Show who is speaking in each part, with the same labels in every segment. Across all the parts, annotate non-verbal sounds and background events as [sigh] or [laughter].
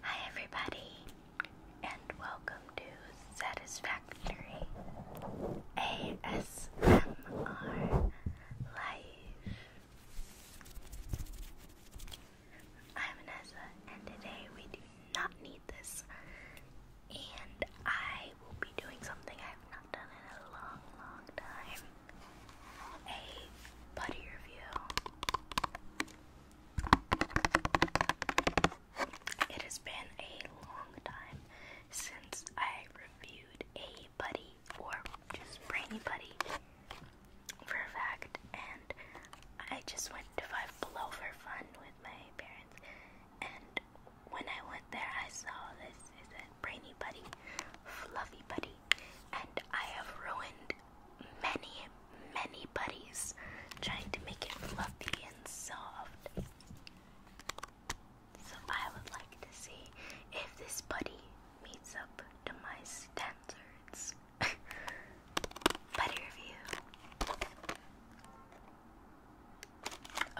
Speaker 1: Hi, everybody, and welcome to Satisfactory ASMR Live. I'm Vanessa, and today we do not need this, and I will be doing something I've not done in a long, long time a buddy review. It has been a long time since I reviewed a buddy or just brainy buddy for a fact, and I just went to Five Below for fun with my parents. And when I went there, I saw this Brainy Buddy, Fluffy Buddy, and I have ruined many, many buddies trying to make it fluffy and soft. So I would like to see if this buddy meets up to my standards. [laughs] buddy review.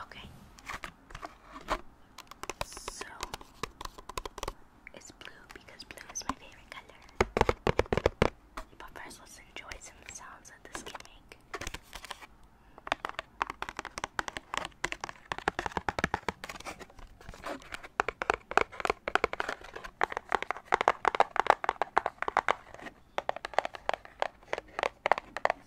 Speaker 1: Okay, so it's blue because blue is my favorite color. But first, enjoy some sounds that this can make.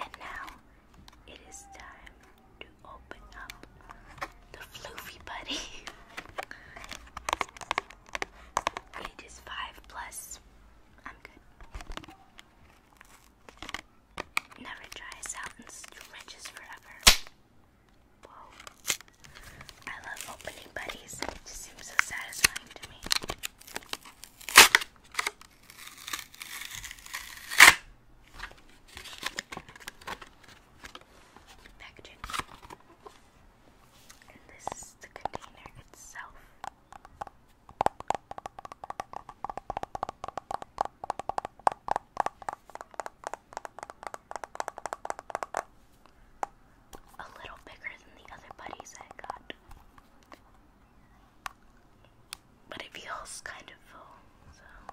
Speaker 1: and now it is time to open up the floofy buddy. [laughs] it is five plus. I'm good. Never dries out and stretches forever. Whoa. I love opening buddies. It just seems so satisfying to me. Packaging. And this is the container itself. A little bigger than the other buddies I got. But it feels kind of full, so.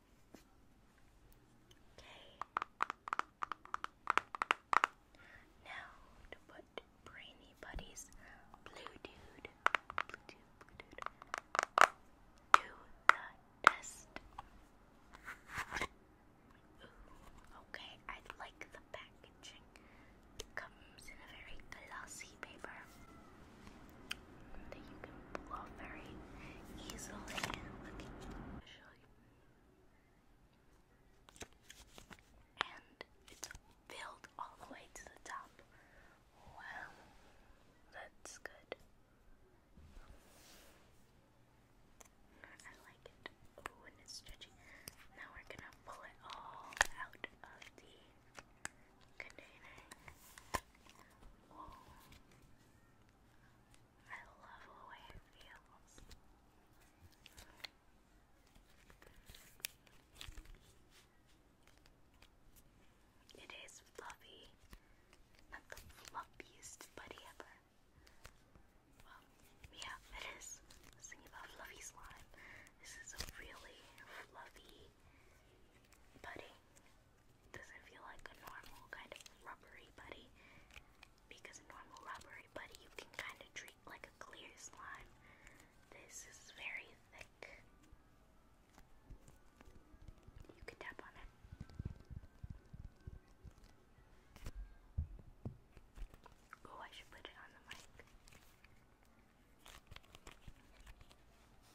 Speaker 1: Okay. Now to put Brainy Buddy's Blue Dude, Blue Dude, Blue Dude to the test. okay, I like the packaging. It comes in a very glossy paper that you can blow very easily. Let me show you. And it's filled all the way to the top. Wow, that's good. I like it. Oh, and it's stretchy. Now we're gonna pull it all out of the container. Whoa. I love the way it feels. It is fluffy. Not the fluffiest buddy ever. Well, yeah, it is. I about fluffy slime. This is a really fluffy buddy doesn't feel like a normal kind of rubbery buddy Because normal rubbery putty you can kind of treat like a clear slime. This is very thick. You can tap on it. Oh, I should put it on the mic.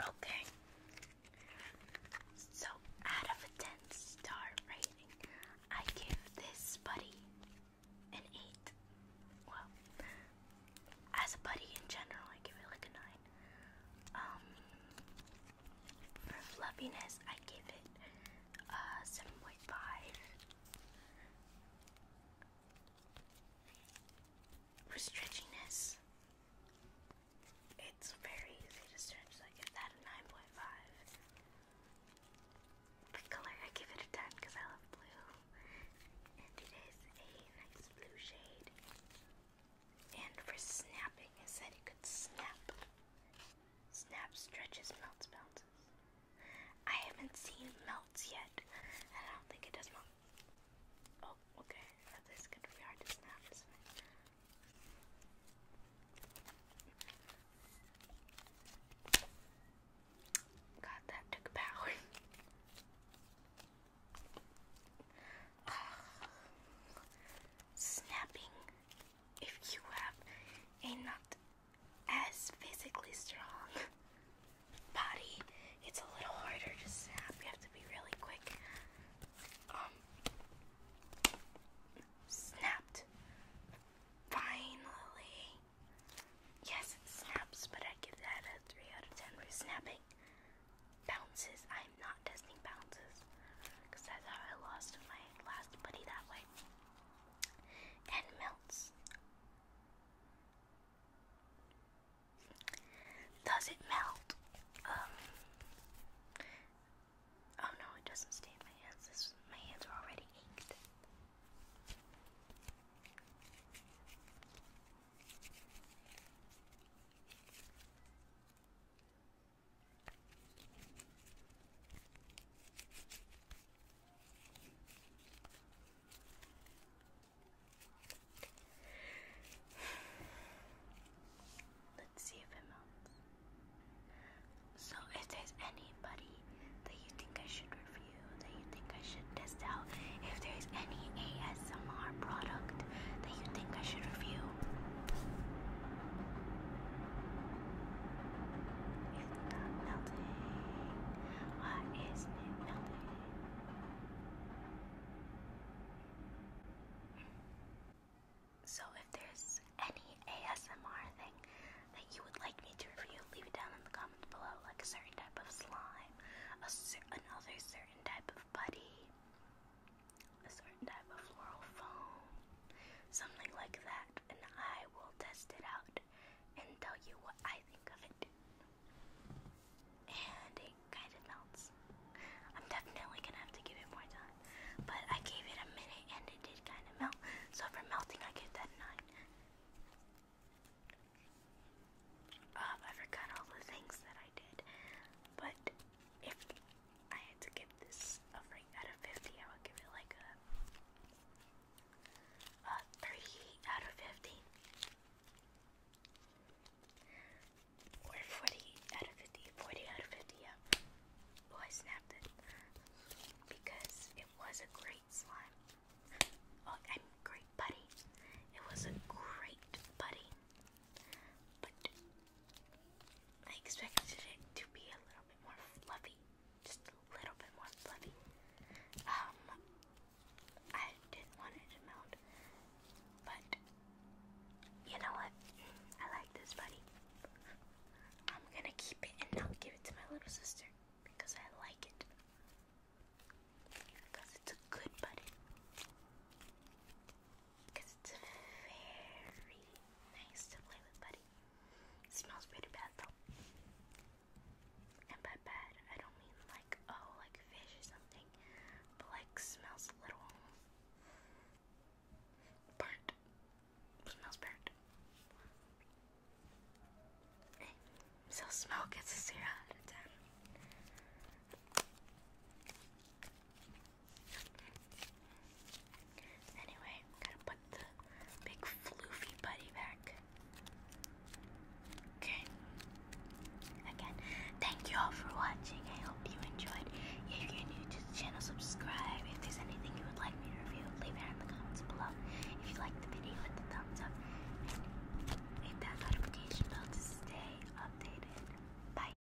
Speaker 1: Okay. So, out of a 10 star rating, I give this buddy an 8. Well, as a buddy in general, I give it like a 9. Um, for fluffiness, I give it uh 7.5. For stretchiness, it's very easy to stretch. I give that a 9.5. The color, I give it a 10 because I love blue. it is a nice blue shade. And for snapping, it said it could snap. Snap, stretches, melts, bounces. I haven't seen melts yet, and I don't think it does melt. Oh, okay. this is gonna be hard to snap, God, that took power. [laughs] snapping. If you have a nut as physically strong. [laughs] Body, it's a little harder to snap. You have to be really quick. Um, snapped. Finally. Yes, snaps, but I give that a 3 out of 10 for snapping. Bounces. I'm not testing bounces because that's how I lost my last buddy that way and melts. Does it melt? Um. Oh no, it doesn't stay my hands. my hands are already inked. Let's see if it melts. So, if there's anybody that you think I should review, that you think I should test out, if there's any ASMR product that you think I should review, it's not melting. Why is it melting? So if there's any ASMR thing that you would like me to review, leave it down in the comments below, like a certain type of slime, a cer another certain type of buddy, certain type of floral foam, something like that, and I will test it out and tell you what I think of it. And it kind of melts. I'm definitely gonna have to give it more time, but I gave it a minute and it did kind of melt. So for melting, I give that nine. Um, I forgot all the things that I did, but if I had to give this a rate out of 50, I would give it like a, a 3 out of 50. Or 40 out of 50. out of 50, yeah. Oh, I snapped it. Because it was a great slime. Oh, I'm great buddy. It was a great buddy. But I expected it to be a little bit more fluffy, just a little bit more fluffy. Um, I didn't want it to melt, but you know what? I like this buddy. I'm gonna keep it and not give it to my little sister because I like it. Because it's a good buddy because it's very nice to play with, buddy. smells pretty bad though. And by bad, I don't mean like, oh, like fish or something, but like smells a little burnt. Smells burnt. Eh, so smell gets a zero out of ten. Anyway, gotta put the big floofy buddy back. Okay. Again, thank you all for watching. I hope you enjoyed. If you're new to the channel, subscribe. If there's anything you would like me to review, leave it in the comments below. If you liked the video, hit the thumbs up hit that notification bell to stay updated. Bye.